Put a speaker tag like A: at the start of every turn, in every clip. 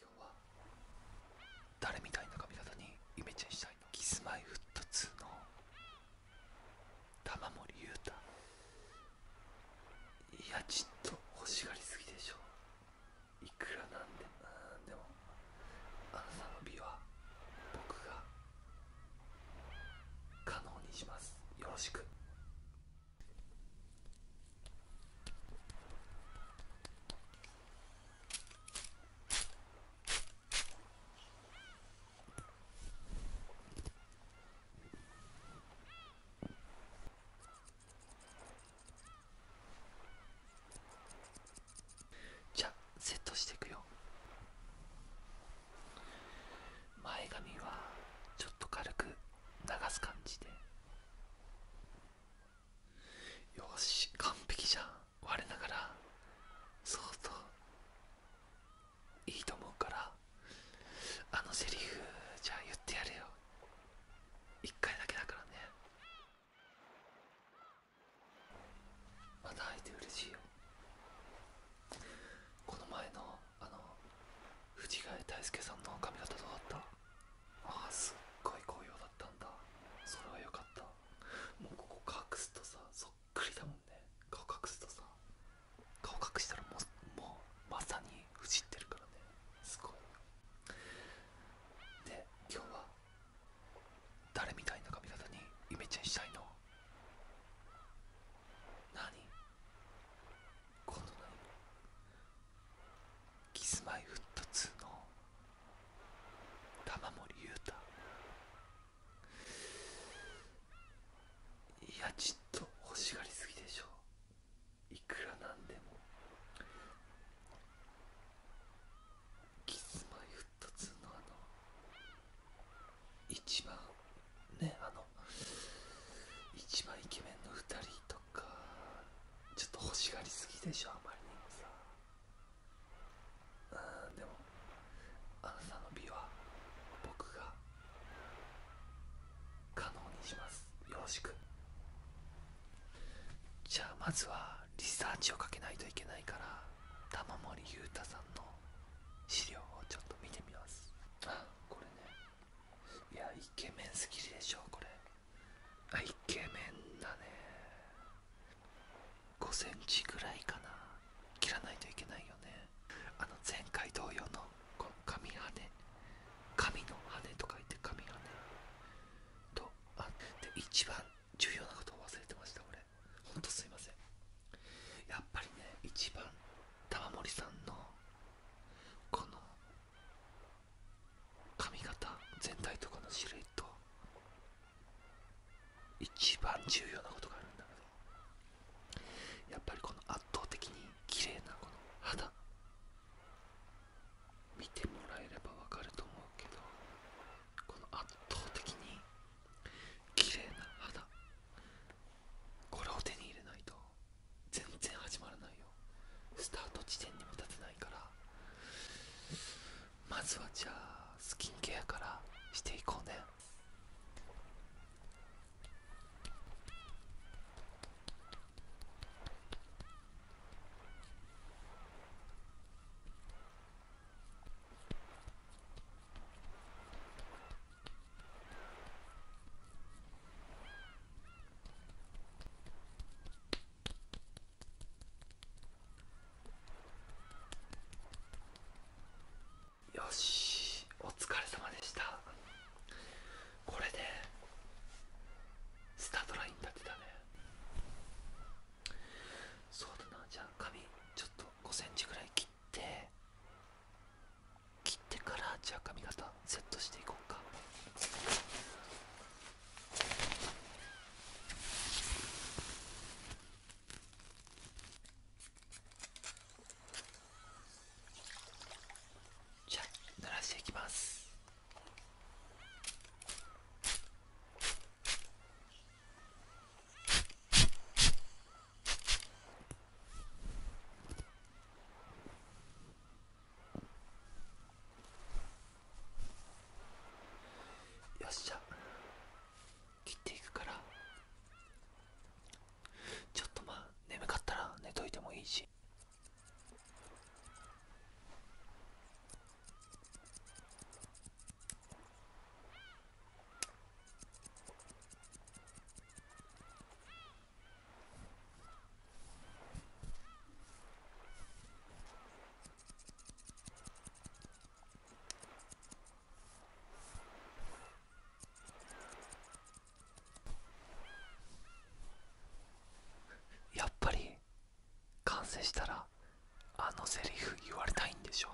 A: 今日は誰みたいな髪型にイメチェンしたいキスマイフット2の玉森裕太いやちょっと欲しがりすぎでしょいくらなんでなんでもあなたの美は僕が可能にしますよろしくじゃセットしていくよ。前髪はちょっと軽く流す感じでよし完璧じゃん我ながら相当いいと思うからあのセリフじゃあ言ってやれよ一回だけだからねまた会えて嬉しいよこの前のあの藤ヶ谷大介さんの髪型どうだったああすっごい紅葉だったんだそれはよかったもうここ隠すとさそっくりだもんね顔隠すとさ顔隠したらもうまさにふじってるからねすごいで今日は誰みたいな髪型にイメチェンしたいの何この何キスマイフット2の玉森裕太いやちっと欲しがりすぎでしょいくら何でもキスマイフット。ッツのあの一番ねあの一番イケメンの2人とかちょっと欲しがりすぎでしょあまりにもさうんでもあなたの美は僕が可能にしますよろしくじゃあまずはリサーチをかけないといけないから玉森裕太さんの資料をちょっと見てみますあこれねいやイケメンすぎるでしょこれあイケメンだね5センチぐらいかな切らないといけないよねあの前回同様のこの紙羽紙の羽と書いて紙羽とあっで一番重要なことを忘れてました俺ほんとすいませんやっぱりね一番玉森さんのこの髪型全体とかのシルエット一番重要なことがあるんだけどやっぱりこの圧倒的に綺麗なこの肌見てもらえればわかると思うけどこの圧倒的に綺麗な肌これを手に入れないと全然始まらないよスタート地点にも立てないからまずはじゃあスキンケアからしていこうねよしお疲れ様でしたこれでスタートライン立てたねそうだなじゃあ髪ちょっと5センチぐらい切って切ってからじゃあ髪型セットしていこうか。じゃあならしていきます。よっしゃ切っていくからちょっとまあ眠かったら寝といてもいいしやっぱり完成したらあのセリフ言われたいんでしょ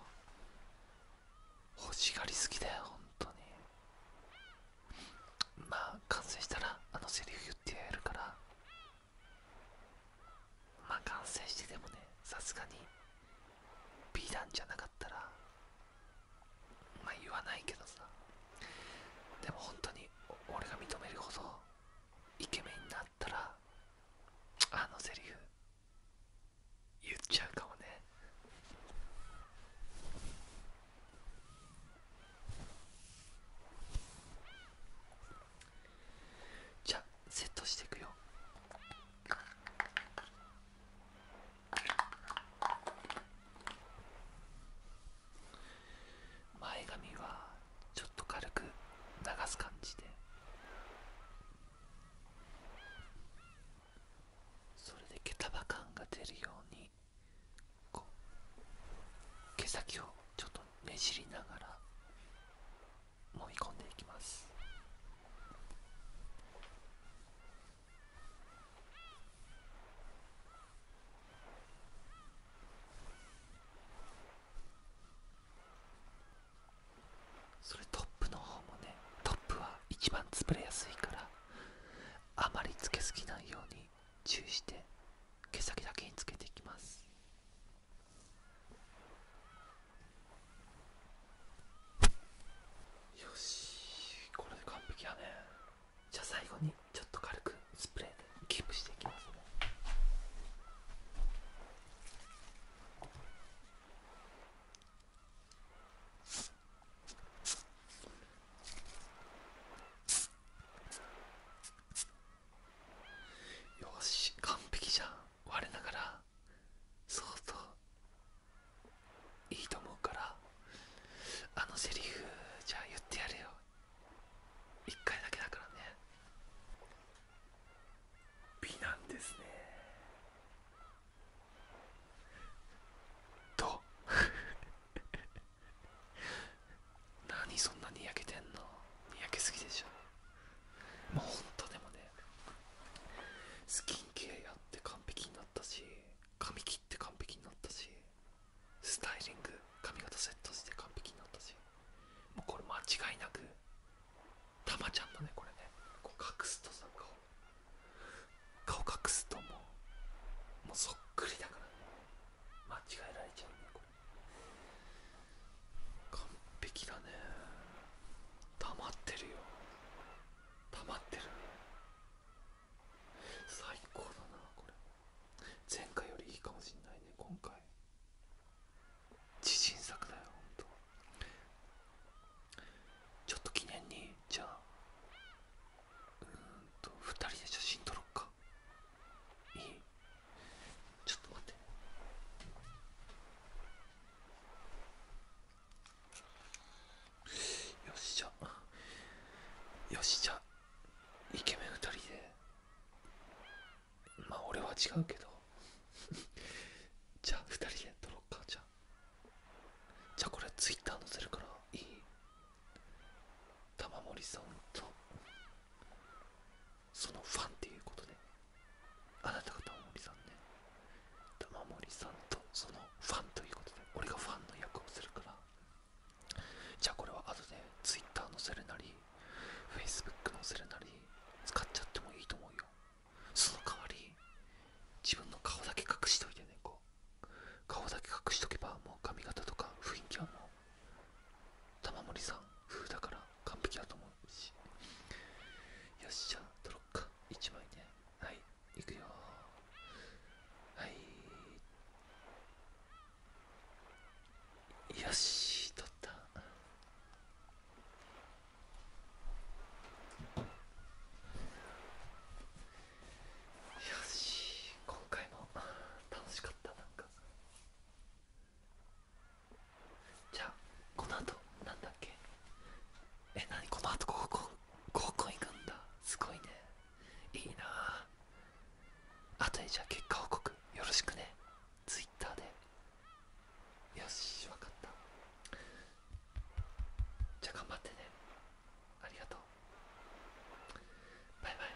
A: 欲しがり好きだよ本当にまあ完成したらあのセリフ言ってやるからまあ完成してでもねさすがに美談じゃなかったらまあ言わないけどさでも本当に俺が認めるほどイケメンになっあのセリフ言っちゃうかもねじゃセットしていくよ前髪はちょっと軽く流す感じでそれで毛束感が出るように毛先をちょっとねじりながら揉み込んでいきますそれトップの方もねトップは一番潰れやすいからあまりつけすぎないように注意して毛先だけにつけていきますよしこれで完璧やねじゃあ最後にちょっと軽くスプレーでキープしていきますねよし完璧じゃん我ながら相当いいと思うからあのセリフじゃあ言ってやれよ一回だけだからね美なんですねと 何そんなに焼けてんのにやけすぎでしょもうほんとでもねスキンケアって完璧になったし髪切って完璧になったしスタイリング髪型セットして完璧になったしもうこれ間違いなくたまちゃんのねこれねこう隠すとさ顔顔隠すともうもうそっくりだからね間違えられちゃうねこれ完璧だね溜まってるよ溜まってるね最高だなこれ前回よりいいかもしんないね今回自信作だよほんとちょっと記念にじゃあうんと2人で写真撮ろっかいいちょっと待ってよしじゃよしじゃイケメン2人でまあ俺は違うけど じゃあ2人で撮ろうかじゃあじゃあこれツイッター載せるからいい玉森さんとそのファンっていうことねあなたが玉森さんね玉森さんとそのファンということで俺がファンの役をするからじゃあこれは後でツイッター載せるなり Facebook 載せるなり使っちゃってもいいと思うよその代わり自分の顔だけ隠しといてねこう顔だけ隠しとけばもう髪型とか雰囲気はもう玉森さん風だから完璧だと思うしよっしゃ撮ろっか1枚ねはいいくよはいよしとったよし今回も楽しかったなんかじゃあこの後なんだっけえ何この後合コン合コン行くんだすごいねいいなあとでじゃあ結果報告よろしくね Twitter でよし分かったじゃあ頑張ってねありがとうバイバイ